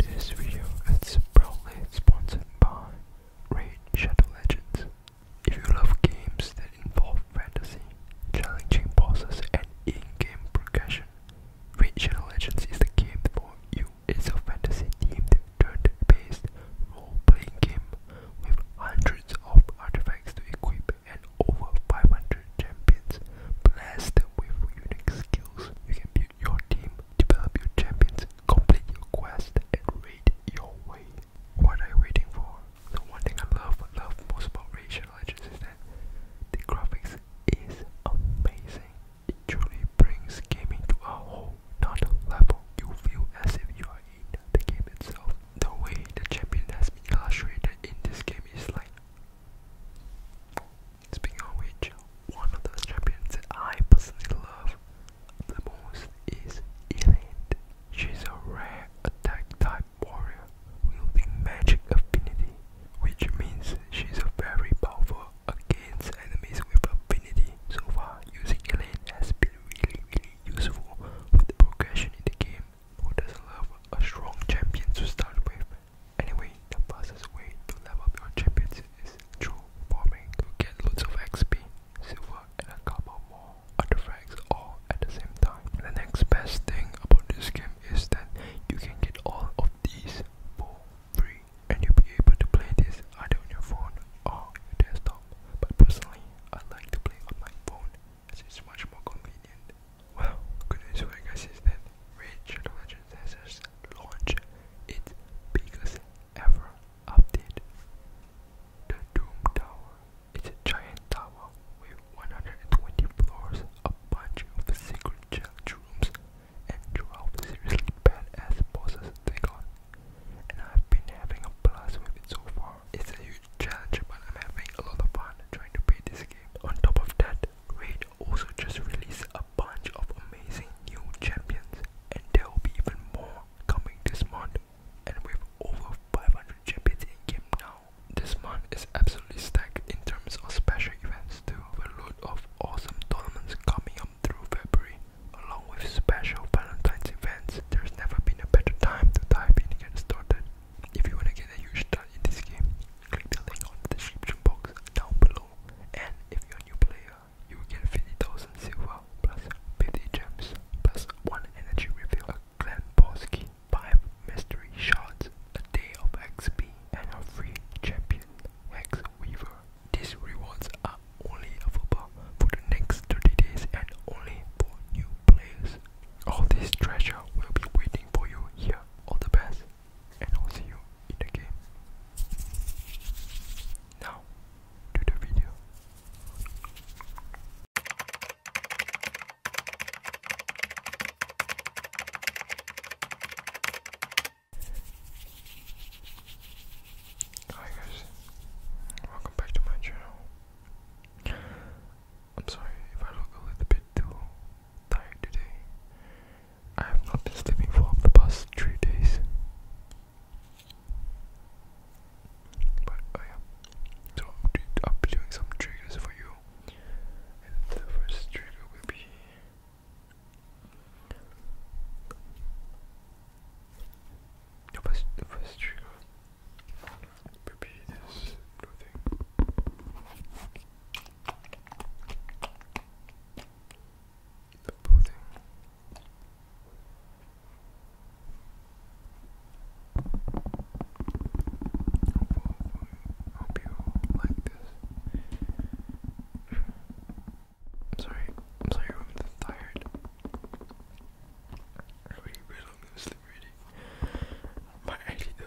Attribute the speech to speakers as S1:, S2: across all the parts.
S1: This video is proudly sponsored by Raid Shadow Legends. If you love games that involve fantasy, challenging bosses, and in-game progression, Raid Shadow Legends is the game for you. It's a fantasy-themed, turn-based, role-playing game with hundreds of artifacts to equip and over 500 champions blessed with unique skills your team, develop your champions, complete your quest, and raid your way. What are you waiting for? The one thing I love, love most about Radiant Legends is that the graphics is amazing. It truly brings gaming to a whole nother level. You feel as if you are in the game itself. The way the champion has been illustrated in this game is like Speaking of which, one of those champions that I personally love the most is Elaine. She's a rare attack type warrior wielding magic affinity, which means she's a very powerful against enemies with affinity. So far, using Elaine has been really, really useful
S2: with the progression in the game. Who doesn't love a strong champion to start with? Anyway, the fastest way to level up your champions is through farming to get loads of XP, silver, and a couple more artifacts all at the same time. The next best thing about this game is that you can get all of these for free, and you'll be able to play this either on your phone or your desktop. But personally, I like to play on my phone as it's much more convenient. Well, good news guys is Ridge Religion Sensors launched its biggest ever update. The Doom Tower is a giant tower with 120 floors, a bunch of secret challenge rooms, and 12 seriously badass bosses take on. And I've been having a blast with it so far. It's a huge challenge, but I'm having a lot of fun trying to beat this game. On top of that, Raid also just released a bunch of amazing new champions and there will be even more coming this month and with over 500 champions in game now. This month is absolutely stacked in terms of special events too, a load of awesome tournaments coming up through February along with special Valentine's events. There's never been a better time to dive in and get started. If you wanna get a huge start in this game, click the link on the description box down below. And if you're a new player, you will get 50,000 silver plus 50 gems plus 1 energy reveal, a clan boss key, 5 mystery shards, a day of XP, and a free champion, Hex Weaver. These rewards are only available for the next 30 days and only for new players. All this treasure will be waiting for you here. on the path and I'll see you in the game. Now, to the video. Hi guys, welcome back to my channel. I'm sorry if I look a little bit too tired today. I have not been sleeping for the past three days. But oh yeah, so I'll be doing some triggers for you. And the first trigger will be the first, the first trigger will be this blue thing the pudding. Hope you like this. I'm sorry, I'm sorry I'm tired. I really, really don't sleep really. My idea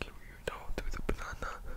S3: Give you know the banana.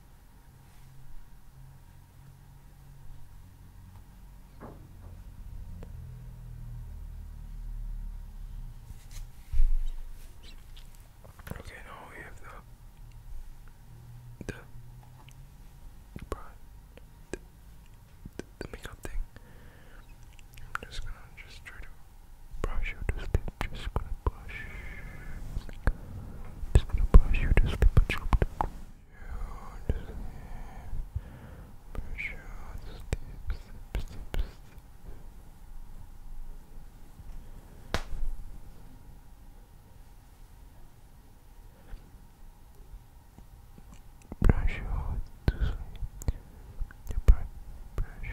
S3: Okay, now we have the the the, makeup thing. I'm just gonna just try to brush you to sleep, just gonna brush. Just gonna brush you to sleep, but you to sleep. Brush you to sleep, sleep, sleep, sleep. Brush you to sleep. You brush, brush you.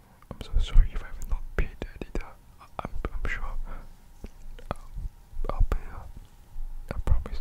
S3: I'm so sorry if I have not paid the editor. I'm, sure I'll, I'll pay her. I promise.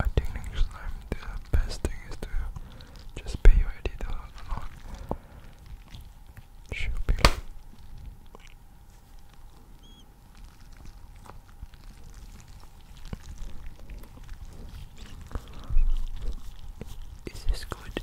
S3: I think the best thing is to just pay your editor a lot. Jubilee. Is this good?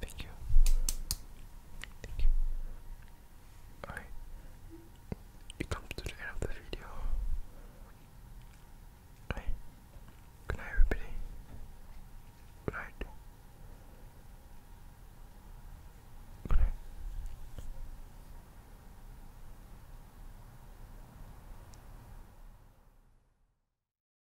S3: Thank you. Thank you. Alright. You come to the end of the video. Good night everybody. Good night. Good night.